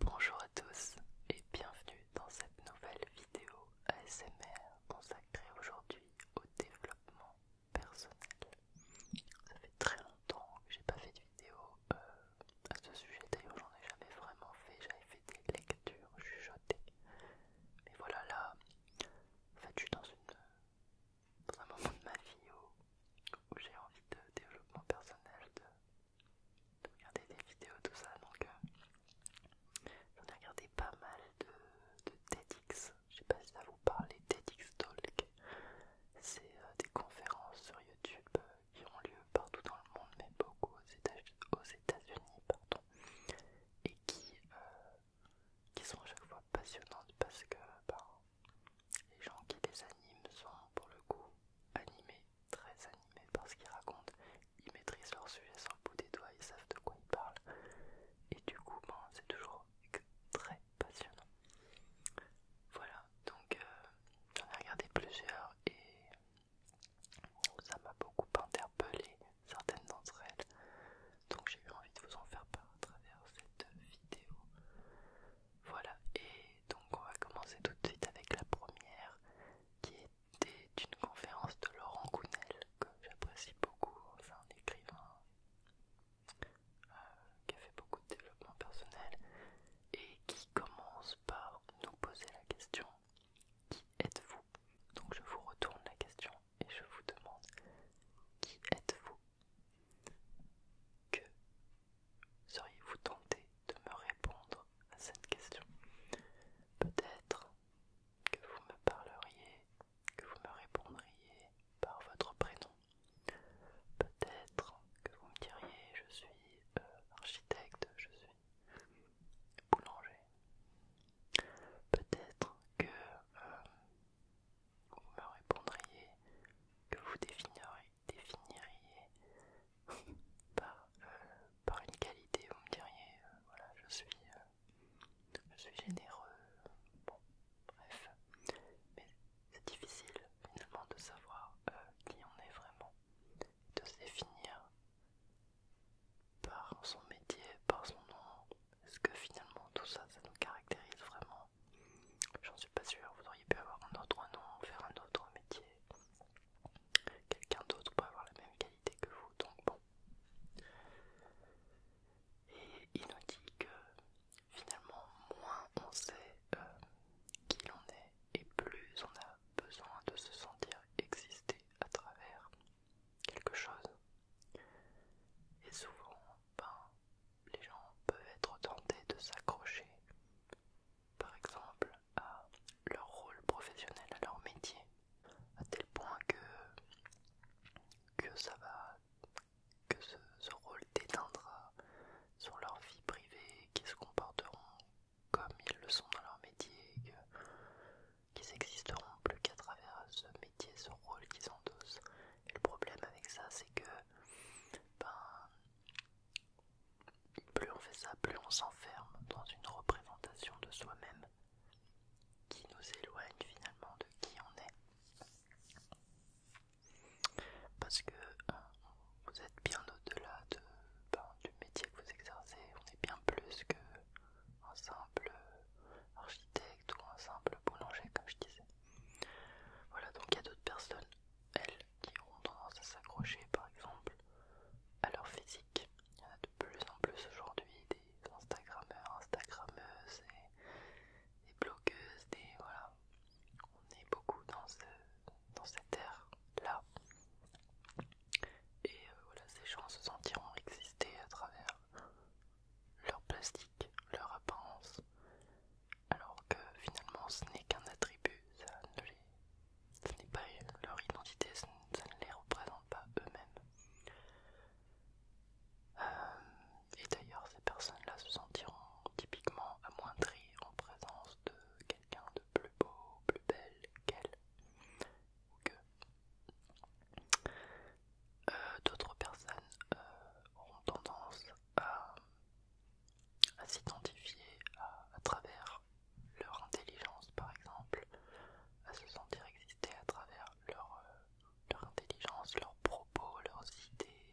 Bonjour à tous et bienvenue dans cette nouvelle vidéo ASMR consacrée aujourd'hui au développement personnel. Ça fait très longtemps que j'ai pas fait de vidéo euh, à ce sujet, d'ailleurs j'en ai jamais vraiment fait, j'avais fait des lectures chuchotées. Mais voilà là, en fait je suis dans, un moment de ma vie où, où j'ai envie de développement personnel, de de regarder des vidéos, tout ça. Donc, euh, j'en ai regardé pas mal de, TEDx. Je sais pas si ça vous parle, les TEDx Talk. C'est euh, des conférences sur YouTube euh, qui ont lieu partout dans le monde, mais beaucoup aux États-Unis, pardon, et qui, qui sont à chaque fois passionnantes parce que ben, les gens qui les animent sont pour le coup animés très animés par ce qu'ils racontent. Ils maîtrisent leur sujet sans le bout des doigts, ils savent de quoi ils parlent. Et du coup, ben, c'est toujours très passionnant. Voilà, donc euh, j'en ai regardé plusieurs et ça m'a beaucoup interpellé, certaines d'entre elles. Donc j'ai eu envie de vous en faire part à travers cette vidéo. Voilà, et donc on va commencer tout de suite avec la première qui était une conférence de Laurent Gounel que j'apprécie beaucoup, c'est un écrivain euh, qui a fait beaucoup de développement personnel et qui commence par nous poser la question qui êtes-vous Donc je vous retourne la question et je vous demande qui êtes-vous Que Seriez-vous tenté de me répondre à cette question Peut-être que vous me parleriez, que vous me répondriez par votre prénom. Peut-être que vous me diriez je suis euh, architecte, je suis boulanger. Peut-être que euh, vous me répondriez que vous définiriez définiriez par, euh, par une qualité, vous me diriez, euh, voilà, je suis, euh, je suis généreux, bon, bref, mais c'est difficile finalement de savoir qui on est vraiment, de se définir par son métier, par son nom, est-ce que finalement tout ça, ça nous caractérise vraiment J'en suis pas sûr, vous auriez pu avoir un autre nom, faire un autre métier, quelqu'un d'autre peut avoir la même qualité que vous, donc bon. Et il nous dit que finalement, moins on sait euh, qui l'on est, et plus on a besoin de se sentir exister à travers quelque chose. Et souvent, ben, les gens peuvent être tentés de s'accrocher par exemple, à leur rôle professionnel, à leur métier, à tel point que, que ça va, que ce, rôle déteindra sur leur vie privée, qu'ils se comporteront comme ils le sont dans leur métier, qu'ils existeront plus qu'à travers ce métier, ce rôle qu'ils endossent. Et le problème avec ça, c'est que ben, plus on fait ça, plus on s'enferme dans une représentation de soi-même qui nous éloigne finalement de qui on est. Parce que euh, vous êtes bien au-delà ben, du métier que vous exercez, on est bien plus qu'un simple architecte ou un simple boulanger comme je disais. Voilà, donc il y a d'autres personnes, elles, qui ont tendance à s'accrocher par exemple à leur physique. Il y en a de plus en plus aujourd'hui des Instagrammeurs, Instagrammeuses des blogueuses, des voilà. On est beaucoup dans, ce, dans cette ère-là. Et euh, voilà, ces gens se sentiront exister à travers leur plastique, leur apparence, alors que finalement ce n'est qu'un attribut, ça ne les... ce n'est pas leur identité, ça ne les représente pas eux-mêmes. Euh, et d'ailleurs ces personnes-là se sentiront typiquement amoindries en présence de quelqu'un de plus beau, plus belle qu'elle. ou que. Euh, d'autres personnes euh, auront tendance à à s'identifier à, travers leur intelligence par exemple, à se sentir exister à travers leur, euh, leur intelligence, leurs propos, leurs idées,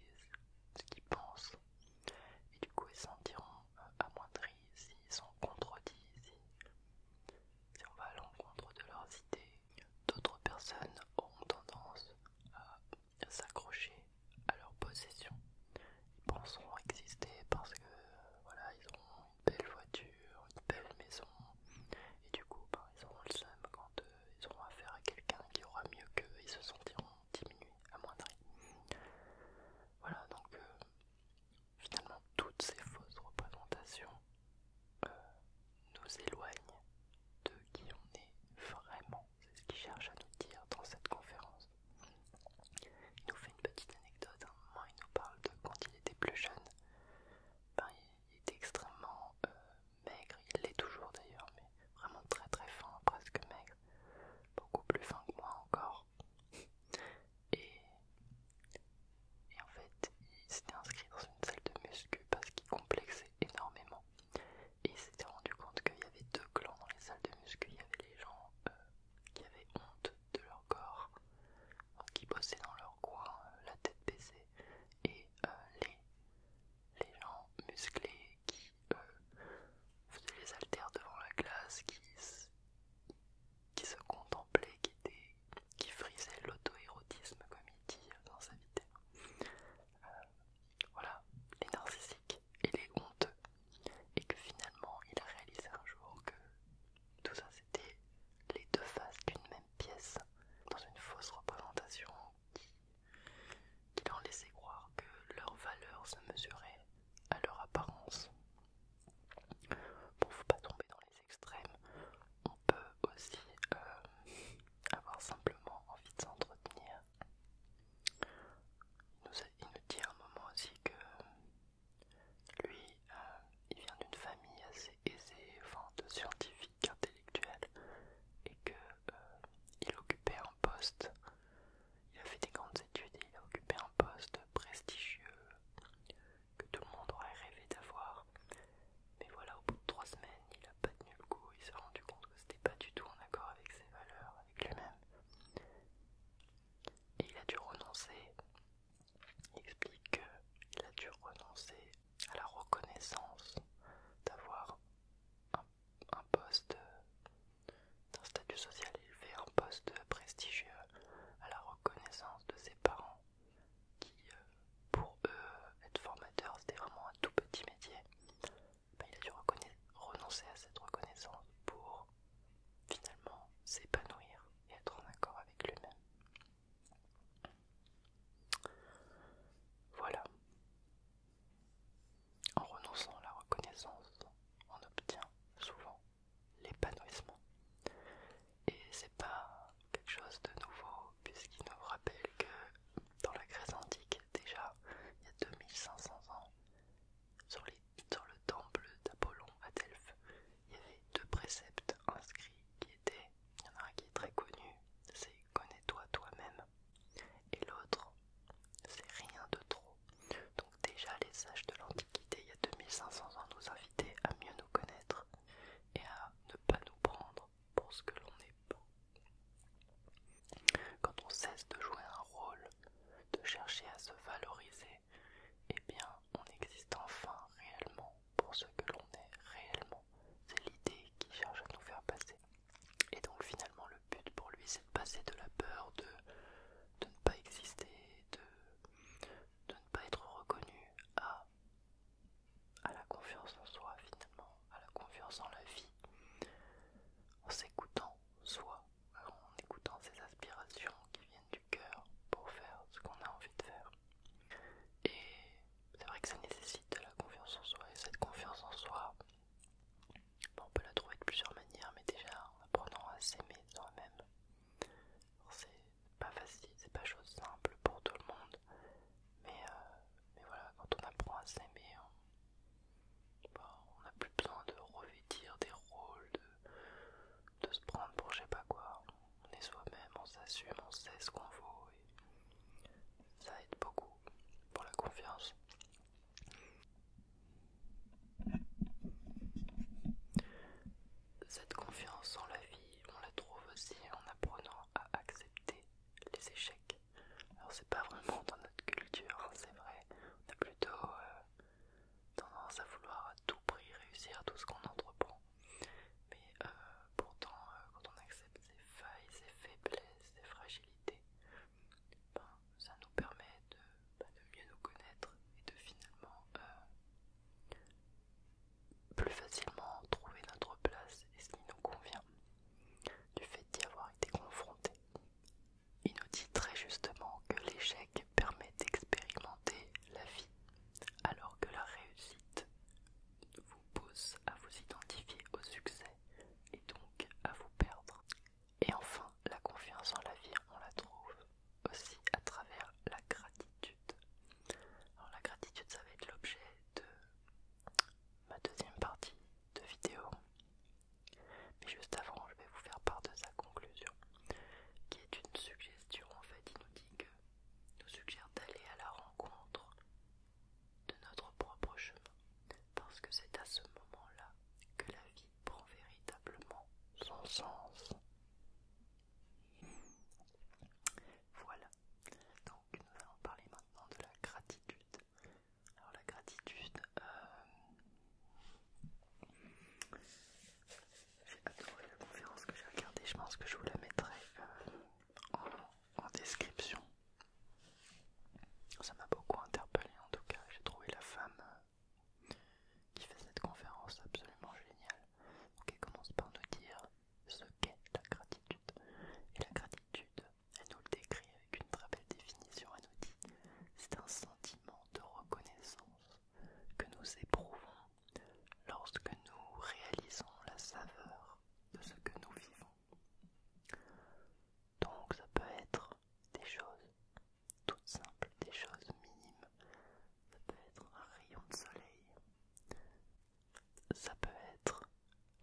ce qu'ils pensent. Et du coup ils se sentiront euh, amoindris s'ils sont contredits, si, on va à l'encontre de leurs idées. D'autres personnes auront tendance à s'accrocher à leur possession. Ils penseront exister parce que voilà, ils ont une belle voiture, une belle maison, et du coup, ben, ils auront le seum quand euh, ils auront affaire à quelqu'un qui aura mieux qu'eux, ils se sentiront diminués, amoindris. Voilà, donc euh, finalement, toutes ces fausses représentations euh, nous éloignent de qui on est vraiment c'est ce qu'il cherche à nous dire dans cette conférence. Il nous fait une petite anecdote, hein. il nous parle de quand il était plus jeune. Ben, il était extrêmement euh, maigre, il l'est toujours d'ailleurs, mais vraiment très très fin, presque maigre, beaucoup plus fin que moi encore. Et, et en fait, il s'était inscrit dans une salle de muscu parce qu'il complexait énormément. Et il s'était rendu compte qu'il y avait deux clans dans les salles de muscu. Il y avait les gens euh, qui avaient honte de leur corps, qui bossaient dans leur coin, euh, la tête baissée, et euh, les, gens musclés qui faisaient les haltères devant la classe, qui, se contemplaient, qui, qui frisaient l'auto-érotisme, comme il dit dans sa vidéo voilà, les narcissiques et les honteux, et que finalement il a réalisé un jour que tout ça c'était les deux faces d'une même pièce, dans une fausse représentation qui, qui leur laissait croire que leur valeur se mesurait à leur apparence. Pour ne pas tomber dans les extrêmes, on peut aussi euh, avoir simplement envie de s'entretenir il nous dit à un moment aussi que lui, euh, il vient d'une famille assez aisée, enfin de scientifiques, intellectuels, et qu'il euh, occupait un poste. Il a fait des grandes études il a occupé un poste prestigieux que tout le monde aurait rêvé d'avoir. Mais voilà, au bout de trois semaines, il a pas tenu le coup, il s'est rendu compte que c'était pas du tout en accord avec ses valeurs avec lui-même. Et il a dû renoncer, il explique qu'il a dû renoncer à la reconnaissance d'avoir un, poste d'un statut social élevé, un poste prestigieux, à la reconnaissance de ses parents qui, euh, pour eux, être formateur c'était vraiment un tout petit métier. Bah, il a dû renoncer à cette reconnaissance pour finalement s'épanouir et être en accord avec lui-même. Voilà. En renonçant à la reconnaissance, on obtient souvent l'épanouissement. Et c'est pas quelque chose de nouveau puisqu'il nous rappelle que dans la Grèce antique, déjà il y a 2500 ans, sur, le temple d'Apollon à Delphes, il y avait deux préceptes inscrits qui étaient, il y en a un qui est très connu, c'est connais-toi toi-même, et l'autre, c'est rien de trop. Donc déjà les sages de l'Antiquité, il y a 2500 ans, nous invitaient à mieux nous connaître et à ne pas nous prendre pour ce que l'on est. Quand on cesse de jouer un rôle, de chercher à se valoriser, eh bien on existe enfin réellement pour ce que l'on est réellement. C'est l'idée qui cherche à nous faire passer. Et donc finalement le but pour lui c'est de passer de la peur de, de ne pas exister, de, de ne pas être reconnu à, à la confiance en soi finalement, à la confiance en la vie, en s'écoutant soi, en écoutant ses aspirations qui viennent du cœur pour faire ce qu'on a envie de faire. Et c'est vrai que ça nécessite de la confiance en soi, et cette confiance en soi, on peut la trouver de plusieurs manières, mais déjà en apprenant à s'aimer soi-même. C'est pas facile, c'est pas chose simple pour tout le monde, mais euh, mais voilà, quand on apprend à s'aimer, hein, bah, on n'a plus besoin de revêtir des rôles, de, de se prendre pour je sais pas quoi. On est soi-même, on s'assume, on sait ce qu'on vaut et ça aide beaucoup pour la confiance. Cette confiance en la vie, on la trouve aussi en apprenant à accepter les échecs. Alors c'est pas vraiment dans notre culture, hein, c'est vrai. On a plutôt euh, tendance à vouloir à tout prix réussir tout ce qu'on entreprend. Mais euh, pourtant, euh, quand on accepte ses failles, ses faiblesses, ses fragilités, ben, ça nous permet ben, de, mieux nous connaître et de finalement plus facilement trouver notre place et ce qui nous convient. Du fait d'y avoir été confronté il nous dit très justement que l'échec permet d'expérimenter la vie, alors que la réussite vous pousse à vous identifier au succès et donc à vous perdre. Et enfin, la confiance en la vie, on la trouve aussi à travers la gratitude. Alors la gratitude, ça va être l'objet de ma deuxième partie de vidéo. Mais juste avant, je vais vous faire part de sa conclusion, qui est une suggestion. En fait, il nous dit que nous suggère d'aller à la rencontre de notre propre chemin, parce que c'est à ce moment-là que la vie prend véritablement son sens. Voilà, donc nous allons parler maintenant de la gratitude alors la gratitude, euh, j'ai adoré la conférence que j'ai regardée, je pense que je vous la mettrai euh, en, description. Ça m'a beaucoup interpellé en tout cas, j'ai trouvé la femme euh, qui fait cette conférence absolument géniale. Donc elle commence par nous dire ce qu'est la gratitude. Et la gratitude, elle nous le décrit avec une très belle définition, elle nous dit c'est un sentiment de reconnaissance que nous éprouvons lorsque nous réalisons la saveur de ce que nous vivons. Donc ça peut être des choses toutes simples, des choses minimes, ça peut être un rayon de soleil, ça peut être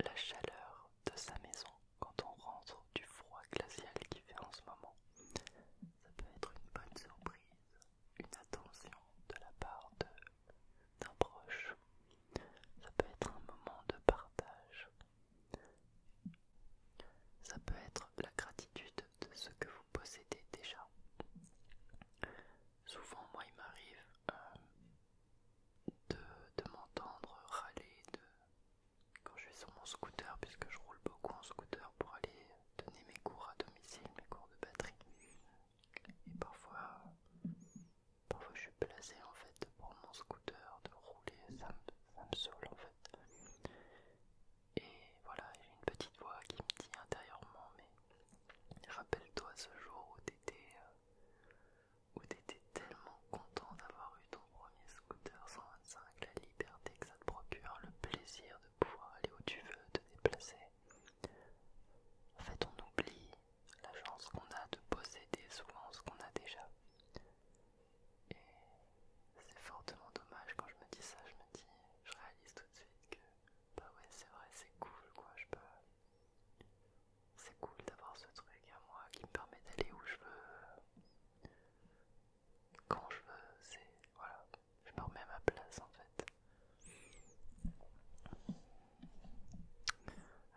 la chaleur de sa maison quand on rentre du froid glacial qui fait en ce moment. Ça peut être une bonne surprise, une attention de la part d'un proche. Ça peut être un moment de partage. Ça peut être la gratitude de ce que vous possédez déjà. Souvent, moi, il m'arrive euh, de, m'entendre râler de, quand je suis sur mon scooter, puisque je roule beaucoup en scooter pour aller donner mes cours à domicile, mes cours de batterie. Et parfois, parfois je suis placée en fait pour mon scooter de rouler, ça me, saoule en fait. Et voilà, j'ai une petite voix qui me dit intérieurement, mais rappelle-toi ce jour où t'étais... Euh, où t'étais tellement content d'avoir eu ton premier scooter 125, la liberté que ça te procure, le plaisir de pouvoir aller où tu veux, te déplacer. En fait, on oublie la chance qu'on a de posséder souvent ce qu'on a déjà. Et c'est fortement dommage quand je me dis ça, je me dis, je réalise tout de suite que, bah ouais, c'est vrai, c'est cool quoi, je peux c'est cool d'avoir ce truc à moi qui me permet d'aller où je veux, quand je veux, c'est... voilà, je me remets à ma place en fait.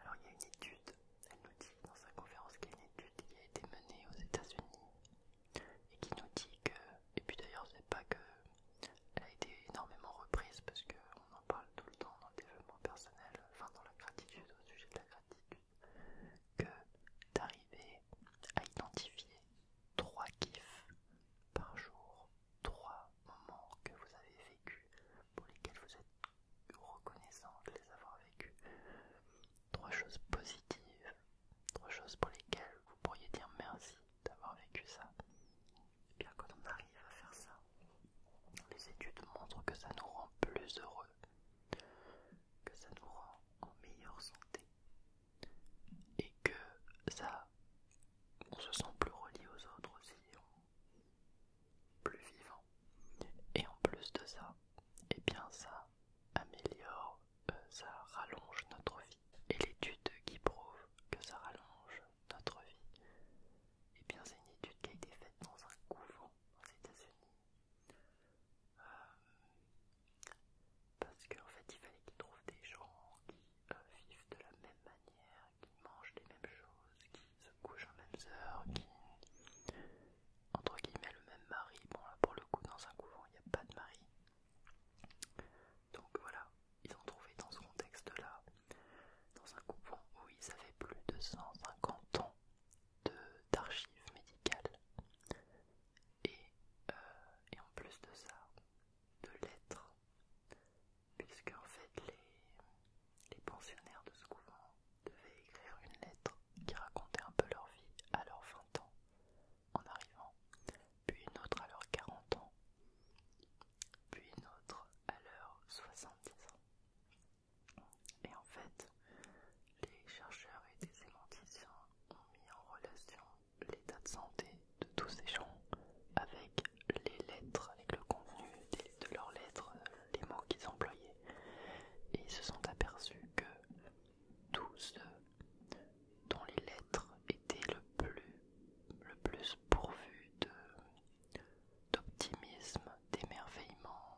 Alors il y a une étude, elle nous dit dans sa conférence qu'il y a une étude qui a été menée aux États-Unis et qui nous dit que, et puis d'ailleurs savez pas que elle a été énormément reprise parce que on en parle tout le temps dans le développement personnel, enfin dans la gratitude, au sujet de la gratitude, que d'arriver à identifier trois kiffs par jour, trois moments que vous avez vécus, pour lesquels vous êtes reconnaissant de les avoir vécus, trois choses positives, trois choses pour lesquelles vous pourriez dire merci d'avoir vécu ça. Et eh bien quand on arrive à faire ça, les études montrent que ça nous rend plus heureux, que ça nous rend en meilleure santé et que ça, on se sent plus relié aux autres aussi, plus vivant. Et en plus de ça, eh bien ça améliore, euh, ça rallonge notre vie. Et l'étude qui prouve que ça rallonge notre vie, et eh bien, c'est une étude qui a été faite dans un couvent aux États-Unis. Euh, parce qu'en fait, il fallait qu'ils trouvent des gens qui euh, vivent de la même manière, qui mangent les mêmes choses, qui se couchent en mêmes heures, qui. entre guillemets, le même mari. Bon, là, pour le coup, dans un couvent, il n'y a pas de mari. Donc voilà, ils ont trouvé dans ce contexte-là dans un couvent où ils avaient plus de 150 ans d'archives médicales et, euh, et en plus de ça, de lettres, puisque en fait les, les pensionnaires de ce couvent devaient écrire une lettre qui racontait un peu leur vie à leurs 20 ans en arrivant, puis une autre à leurs 40 ans, puis une autre à leurs 70 ans. Et en fait, les chercheurs et des sémanticiens ont mis en relation l'état de santé de tous ces gens avec les lettres, avec le contenu de leurs lettres, les mots qu'ils employaient. Et ils se sont aperçus que tous ceux dont les lettres étaient le plus, le plus pourvus de d'optimisme, d'émerveillement,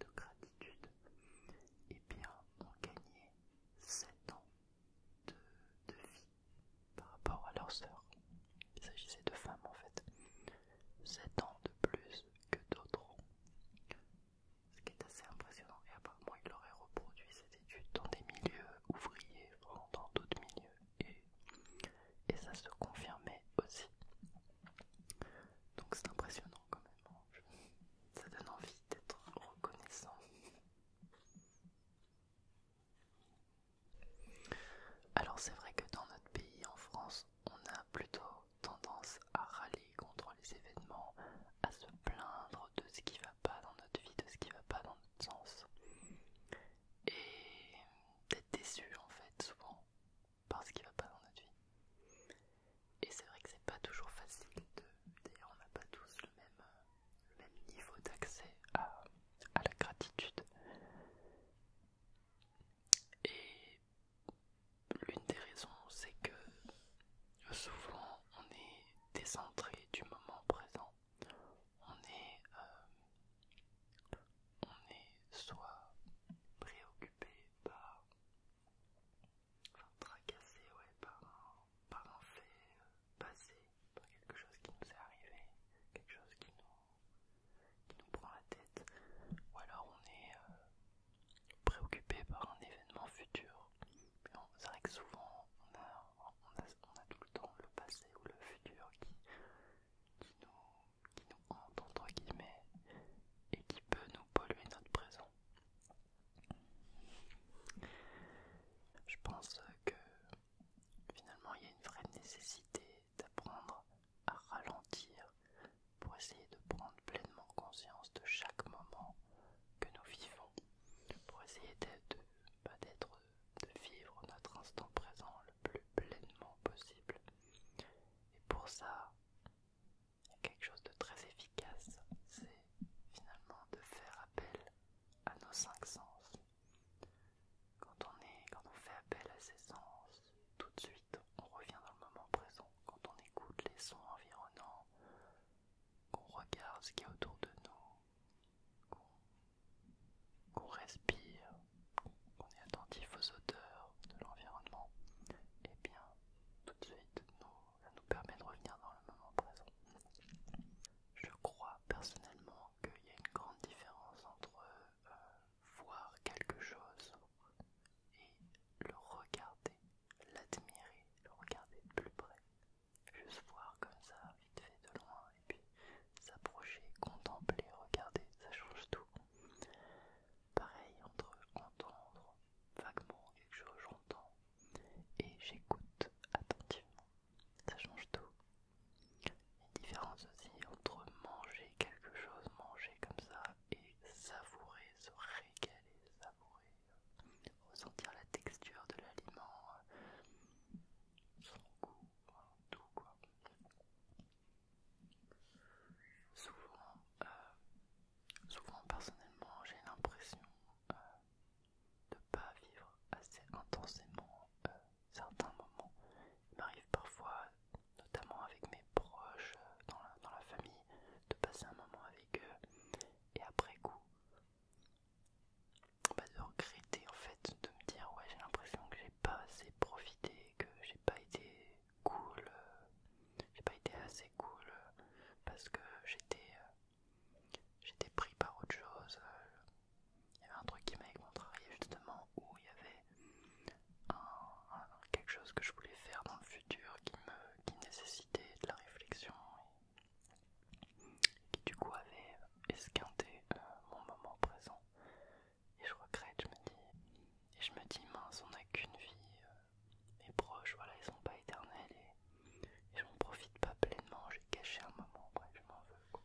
de, gratitude, et eh bien ont gagné 7 ans de, vie par rapport à leur sœurs. Il s'agissait de femmes en fait. 7 ans de plus que d'autres Ce qui est assez impressionnant. Et apparemment, il aurait reproduit cette étude dans des milieux ouvriers, dans d'autres milieux et, ça se confirmait aussi. Donc c'est impressionnant quand même. Hein. Ça donne envie d'être reconnaissant. Alors c'est vrai que dans notre pays, en France, on a plutôt tendance à râler contre les événements, à se plaindre de ce qui va pas dans notre vie, de ce qui va pas dans notre sens et d'être déçu en fait souvent par ce qui va pas dans notre vie. Et c'est vrai que c'est pas toujours facile de. D'ailleurs on n'a pas tous le même, le même niveau d'accès à, à la gratitude. Et l'une des raisons c'est que souvent on est décentré du moment présent on est, euh, on est soit préoccupé par, enfin tracassé ouais, par, un, par fait euh, passé, par quelque chose qui nous est arrivé, quelque chose qui nous, nous prend la tête, ou alors on est euh, préoccupé par un événement futur. C'est vrai que souvent on a, on, a, on a tout le temps le passé ou le futur qui, qui nous, qui hante entre guillemets et qui peut nous polluer notre présent. Je pense que finalement il y a une vraie nécessité d'apprendre à ralentir pour essayer de prendre pleinement conscience de chaque moment que nous vivons, pour essayer d'être bah, de vivre notre instant présent le plus pleinement possible. Et pour ça, il y a quelque chose de très efficace, c'est finalement de faire appel à nos cinq sens. Quand on, quand on fait appel à ces sens, tout de suite on revient dans le moment présent. Quand on écoute les sons environnants, qu'on regarde ce qu'il y a autour de nous, qu'on respire, qu'on est attentif aux odeurs de l'environnement, et eh bien tout de suite, ça nous permet de revenir dans le moment présent. Je crois personnellement qu'il y a une grande différence entre euh, voir quelque chose et le regarder, l'admirer, le regarder de plus près. Juste voir comme ça, vite fait de loin et puis s'approcher, contempler, regarder, ça change tout. Pareil entre entendre vaguement quelque chose, j'entends et j'écoute attentivement, ça change tout. Et différence aussi entre manger quelque chose, manger comme ça et savourer, se régaler, savourer, ressentir la texture de l'aliment, tout quoi. Souvent, euh, euh, souvent personnellement, j'ai l'impression de euh, de pas vivre assez intensément certains moments. Il m'arrive parfois, notamment avec mes proches, dans la famille, de passer un moment avec eux et après coup, de regretter en fait, de me dire ouais j'ai l'impression que j'ai pas assez profité, que j'ai pas été cool, euh, j'ai pas été assez cool euh, parce que j'étais euh, j'étais pris par autre chose. Il y avait un truc qui m'avait contrarié justement où il y avait quelque chose que je voulais faire dans le futur qui me qui nécessitait de la réflexion et qui du coup avait esquinté euh, mon moment présent et je regrette, je me dis, et je me dis mince, on n'a qu'une vie, euh, mes proches, voilà, ils sont pas éternels et, je m'en profite pas pleinement, j'ai caché un moment, bref, je m'en veux quoi.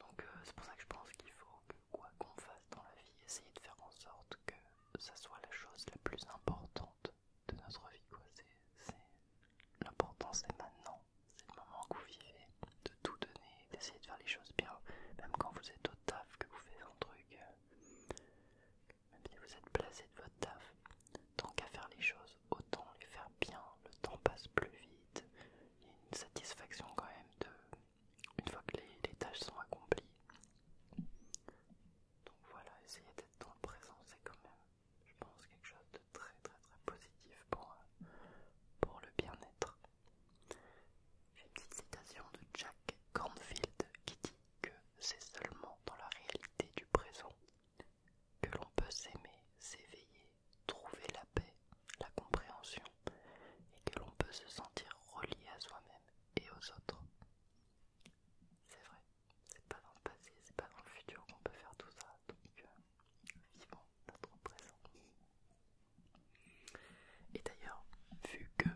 Donc euh, c'est pour ça que je pense qu'il faut que quoi qu'on fasse dans la vie, essayer de faire en sorte que ça soit la chose la plus importante de notre vie, quoi. C'est l'importance c'est maintenant. C'est le moment que vous vivez, de tout donner, d'essayer de faire les choses bien, même quand vous êtes au taf, que vous faites un truc, euh, même si vous êtes placé de votre taf. Tant qu'à faire les choses, autant les faire bien, le temps passe plus vite. Il y a une satisfaction quand même de, une fois que les, les tâches sont accomplies. Donc voilà, essayez d'être dans le présent, c'est quand même je pense, quelque chose de très très très positif pour, euh, pour le bien-être. J'ai une petite citation de Jack Kornfield qui dit que c'est seulement dans la réalité du présent que l'on peut s'aimer, s'éveiller, trouver la paix, la compréhension et que l'on peut se sentir relié à soi-même et aux autres. C'est vrai, c'est pas dans le passé, c'est pas dans le futur qu'on peut faire tout ça, donc euh, notre présent. Et d'ailleurs, vu que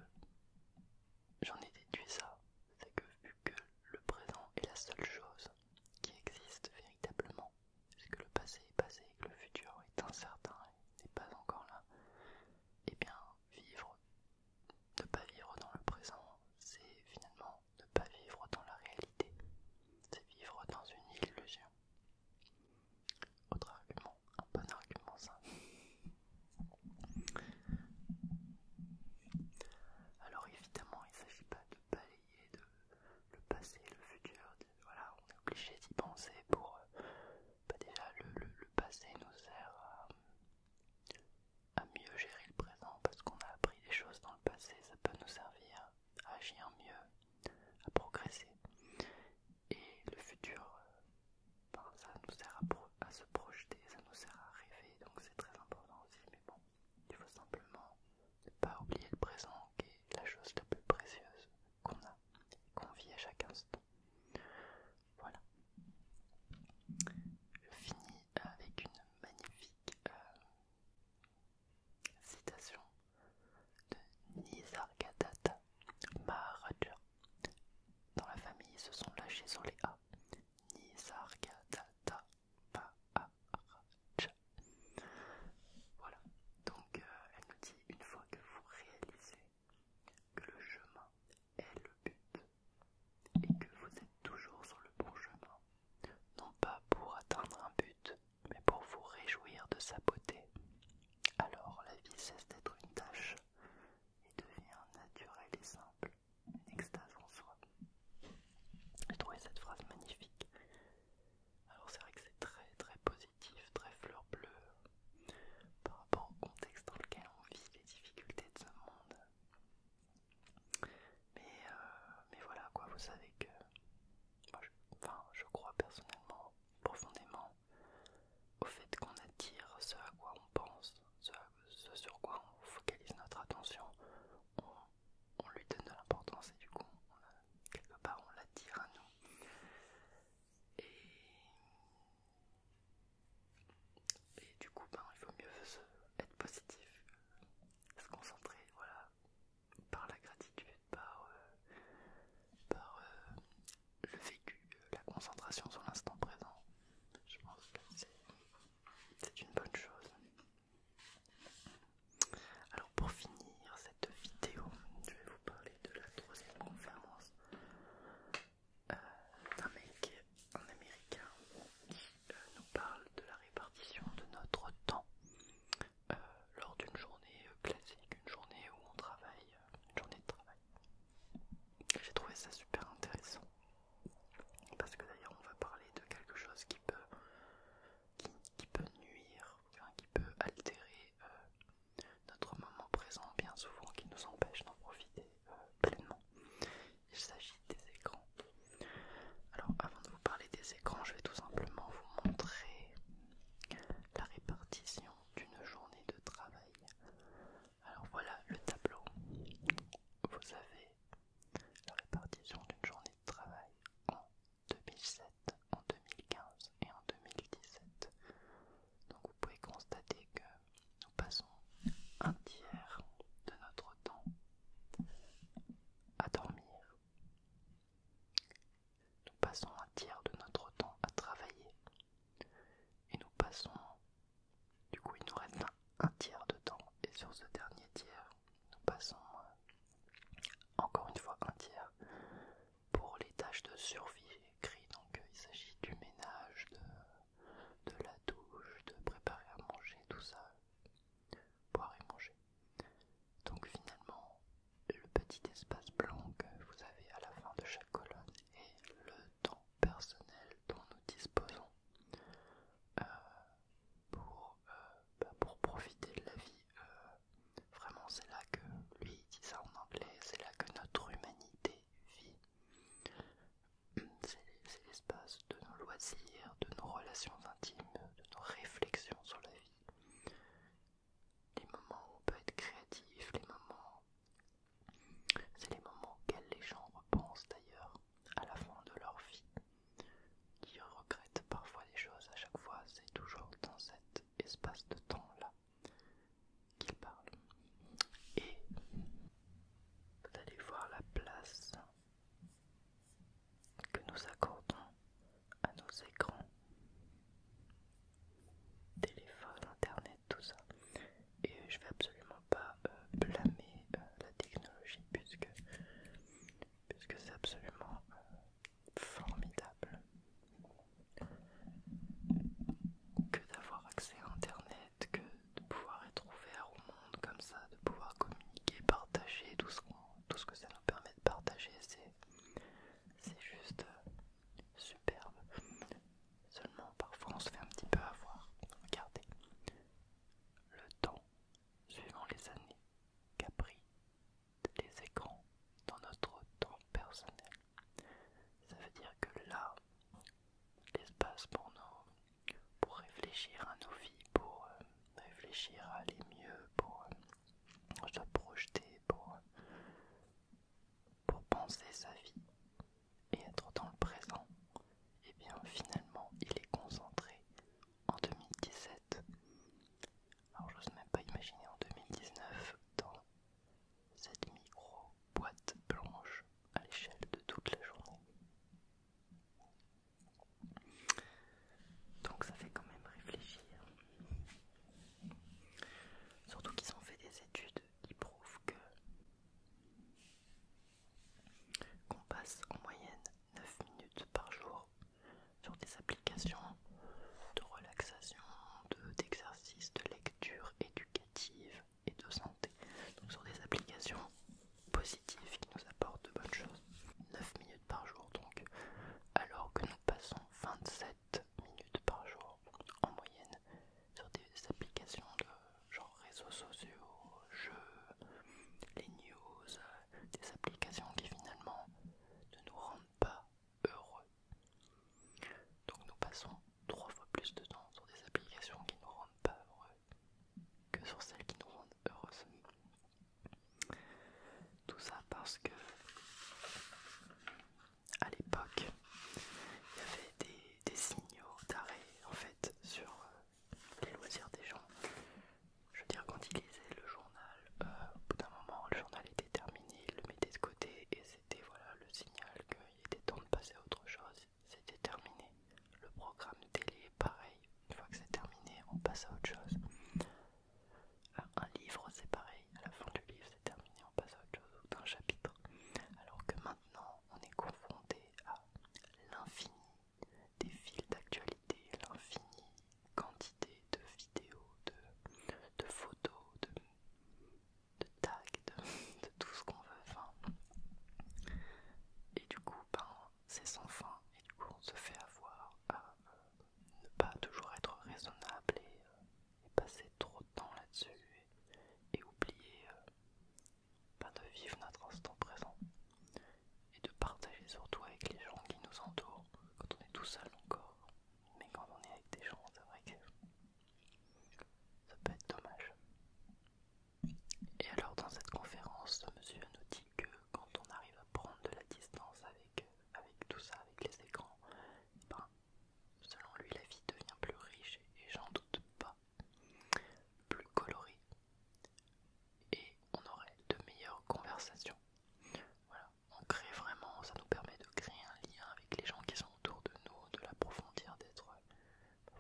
j'en ai déduit ça, c'est que vu que le présent est la seule chose qui existe véritablement, puisque le passé est passé et que le futur est incertain et n'est pas encore là, et eh bien vivre, ne pas vivre dans le présent, c'est finalement ne pas vivre dans la réalité, c'est vivre dans une illusion. Autre argument, un bon argument ça. Alors évidemment, il ne s'agit pas de balayer le passé, le futur, voilà, on est obligé d'y penser pour... Euh, bah, déjà, le, passé nous sert à mieux gérer le présent parce qu'on a appris des choses dans le passé, ça peut nous servir à agir mieux, à progresser. Et le futur, euh, ben, ça nous sert à, se projeter, ça nous sert à rêver, donc c'est très important aussi. Mais bon, il faut simplement ne pas oublier le présent, qui est la chose la plus précieuse qu'on a, qu'on vit à chaque instant. Voilà. Je finis avec une magnifique euh, Citation de Nisargadatta Maharaja. Dans la famille, se sont lâchés sur les A. Nisargadatta Maharaja. Voilà. Donc, euh, elle nous dit une fois que vous réalisez que le chemin est le but et que vous êtes toujours sur le bon chemin, non pas pour atteindre un but, mais pour vous réjouir de sa beauté. Alors la vie cesse d'être une tâche et devient naturelle et simple, une extase en soi. J'ai trouvé cette phrase magnifique. Alors c'est vrai que c'est très très positif, très fleur bleue, par rapport au contexte dans lequel on vit, les difficultés de ce monde. Mais, euh, mais voilà quoi, vous savez que moi, je, enfin, je crois personnellement, profondément, au fait qu'on attire ce à quoi on pense, ce, sur quoi on focalise notre attention, on, lui donne de l'importance et du coup, quelque part, on l'attire à nous. Et, du coup, ben, il vaut mieux être positif, se concentrer, voilà, par la gratitude, par, euh, euh, le vécu, euh, la concentration sur l'instant présent. Je pense que c'est une bonne chose. Alors pour finir cette vidéo, je vais vous parler de la troisième conférence d'un mec, un américain, qui nous parle de la répartition de notre temps. Euh, lors d'une journée euh, classique, une journée où on travaille, euh, une journée de travail. J'ai trouvé ça super intéressant parce que d'ailleurs on va parler de quelque chose qui peut, nuire, qui peut altérer notre moment présent bien souvent, qui nous empêche d'en profiter pleinement. Il s'agit des écrans. Alors avant de vous parler des écrans, je vais tout simplement vous montrer la répartition d'une journée de travail. Alors voilà le tableau. Vous avez la répartition d'une journée de travail en 2007, en 2015 et en 2017. Donc vous pouvez constater que nous passons un tiers de notre temps à dormir nous passons un tiers de notre temps à travailler et nous passons, du coup il nous reste un, tiers de temps et sur ce dernier tiers, nous passons euh, encore une fois un tiers pour les tâches de survie écrit Donc euh, il s'agit du ménage, de la douche, de préparer à manger, tout ça boire et manger. Donc finalement, le petit espace blanc que vous avez à la fin de chaque colonne est le temps personnel dont nous disposons euh, pour, euh, bah, pour profiter de la vie. Euh, vraiment, c'est là que lui dit ça en anglais, c'est là que notre humanité vit. C'est l'espace de nos loisirs, de nos relations intimes de nos réflexions sur la vie. Les moments où on peut être créatif, les moments... C'est les moments auxquels les gens repensent d'ailleurs à la fin de leur vie, qui regrettent parfois des choses à chaque fois, c'est toujours dans cet espace de temps-là qu'ils parlent. Et vous allez voir la place que nous accordons à nos écrans, téléphone, internet, tout ça. Et je vais absolument pas euh, blâmer euh, la technologie puisque, puisque c'est absolument euh, formidable que d'avoir accès à internet, que de pouvoir être ouvert au monde comme ça, de pouvoir communiquer, partager tout tout ce que ça nous permet de partager, c'est juste euh, superbe. Seulement parfois on se fait un petit peu avoir. Regardez le temps suivant les années qu'a pris les écrans dans notre temps personnel. Ça veut dire que là, l'espace pour nous pour réfléchir à nos vies, pour euh, réfléchir à aller mieux, pour euh, se projeter, pour, euh, pour penser sa vie et être dans le présent, et eh bien finalement il est concentré en 2017. Alors j'ose même pas imaginer en 2019 dans cette micro boîte blanche à l'échelle de toute la journée. Donc ça fait quand même réfléchir. Surtout qu'ils ont fait des études qui prouvent que qu'on passe en moyenne 9 minutes par jour sur des applications de relaxation, d'exercices, de lecture éducative et de santé. Donc sur des applications positif qui nous apporte de bonnes choses. 9 minutes par jour donc, alors que nous passons 27 minutes par jour en moyenne sur des applications de genre réseaux sociaux, jeux, les news, des applications qui finalement ne nous rendent pas heureux. Donc nous passons trois fois plus de temps sur des applications qui ne nous rendent pas heureux que sur celles qui nous rendent tout ça parce que à l'époque, il y avait des, signaux d'arrêt en fait sur euh, les loisirs des gens. Je veux dire, quand ils lisaient le journal, euh, au bout d'un moment, le journal était terminé, ils le mettaient de côté et c'était voilà le signal qu'il était temps de passer à autre chose. C'était terminé le programme télé, pareil, une fois que c'est terminé, on passe à autre chose. Euh, un livre, c'est pareil, à la fin du livre, c'est terminé, on passe à autre chose, ou d'un chapitre. Alors que maintenant, on est confronté à l'infini des fils d'actualité, l'infini quantité de vidéos, de, de photos, de, de tags, de, tout ce qu'on veut. Enfin, et du coup, ben, c'est sans fin et du coup on se fait avoir à euh, ne pas toujours être raisonnable euh, et, passer trop de temps là-dessus et, oublier euh, bah, de vivre notre instant présent et de partager surtout avec les gens qui nous entourent quand on est tout seul encore mais quand on est avec des gens c'est vrai que ça peut être dommage et alors dans cette conférence, monsieur nous dit que quand on arrive à prendre de la distance avec, avec tout ça, avec les écrans, eh ben, selon lui la vie devient plus riche et j'en doute pas, plus colorée et on aurait de meilleures conversations. Voilà, on crée vraiment, ça nous permet de créer un lien avec les gens qui sont autour de nous, de l'approfondir, d'être,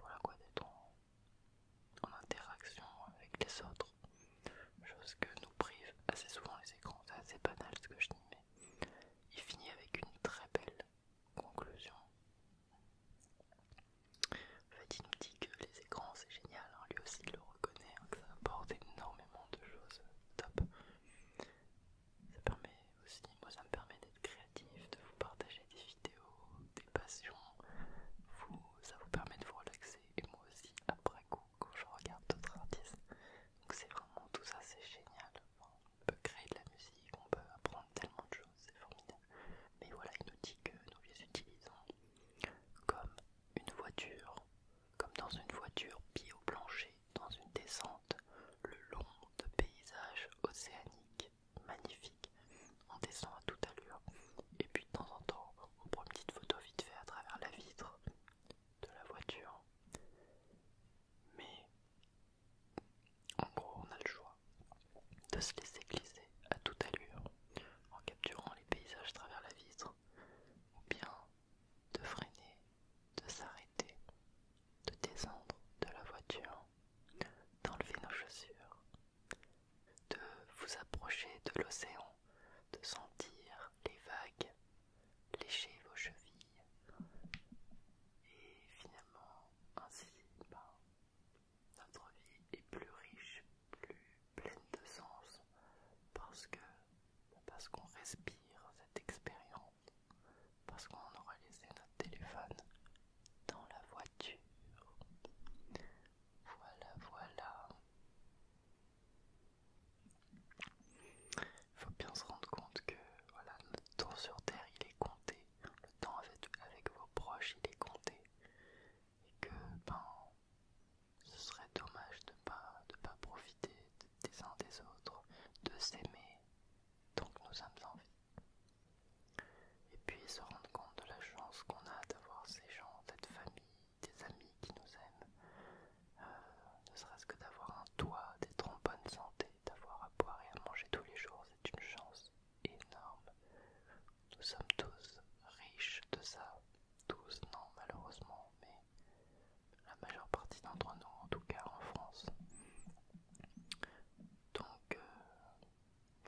voilà quoi, d'être en, en interaction avec les autres, chose que nous privent assez souvent les écrans, c'est assez banal ce que je dis, mais il finit avec une très belle conclusion. En fait, il nous dit que les écrans c'est génial, hein. lui aussi il le reconnaît, hein, que ça apporte énormément de choses top. Ça permet aussi, moi ça me permet d'être créatif, de vous partager des vidéos, des passions, vous, ça vous permet de vous relaxer et moi aussi après coup quand je regarde d'autres artistes. Donc c'est vraiment tout ça, c'est génial. on peut créer de la musique, on peut apprendre tellement de choses, c'est formidable. Mais voilà, il nous dit que nous les utilisons comme une voiture, comme dans une voiture pied au plancher, dans une descente, le long de paysages océaniques magnifique, on descend à toute allure, et puis de temps en temps, on prend une petite photo vite fait à travers la vitre de la voiture. Mais en gros, on a le choix de se laisser glisser à toute allure en capturant les paysages à travers la vitre, ou bien de freiner, de s'arrêter, de descendre de la voiture, d'enlever nos chaussures, de vous approcher de l'océan, de sentir les vagues lécher vos chevilles et finalement ainsi ben, notre vie est plus riche, plus pleine de sens parce que ben, parce qu'on respire cette expérience, parce qu'on aura laissé notre téléphone dans la voiture. Voilà, voilà. Il faut bien se rendre compte que voilà, notre temps sur Terre il est compté, le temps avec, avec vos proches il est compté, et que ben, ce serait dommage de ne pas, pas profiter des uns des autres, de s'aimer Donc nous sommes en vie. Et puis se rendre compte de la chance qu'on a d'avoir ces gens, cette famille, des amis qui nous aiment, euh, ne serait-ce que d'avoir un toit, d'être en bonne santé, d'avoir à boire et à manger tous les jours, c'est une chance énorme. Nous sommes tous riches de ça, tous non malheureusement, mais la majeure partie d'entre nous en tout cas en France. Donc euh,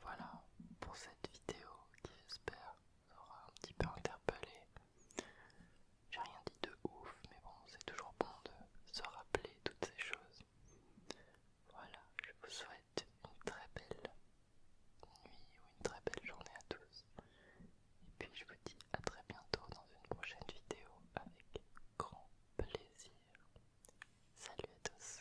voilà pour cette vidéo qui j'espère aura un petit peu interpellé. J'ai rien dit de ouf, mais bon, c'est toujours bon de se rappeler toutes ces choses. Voilà, je vous souhaite une très belle nuit ou une très belle journée à tous. Et puis je vous dis à très bientôt dans une prochaine vidéo avec grand plaisir. Salut à tous.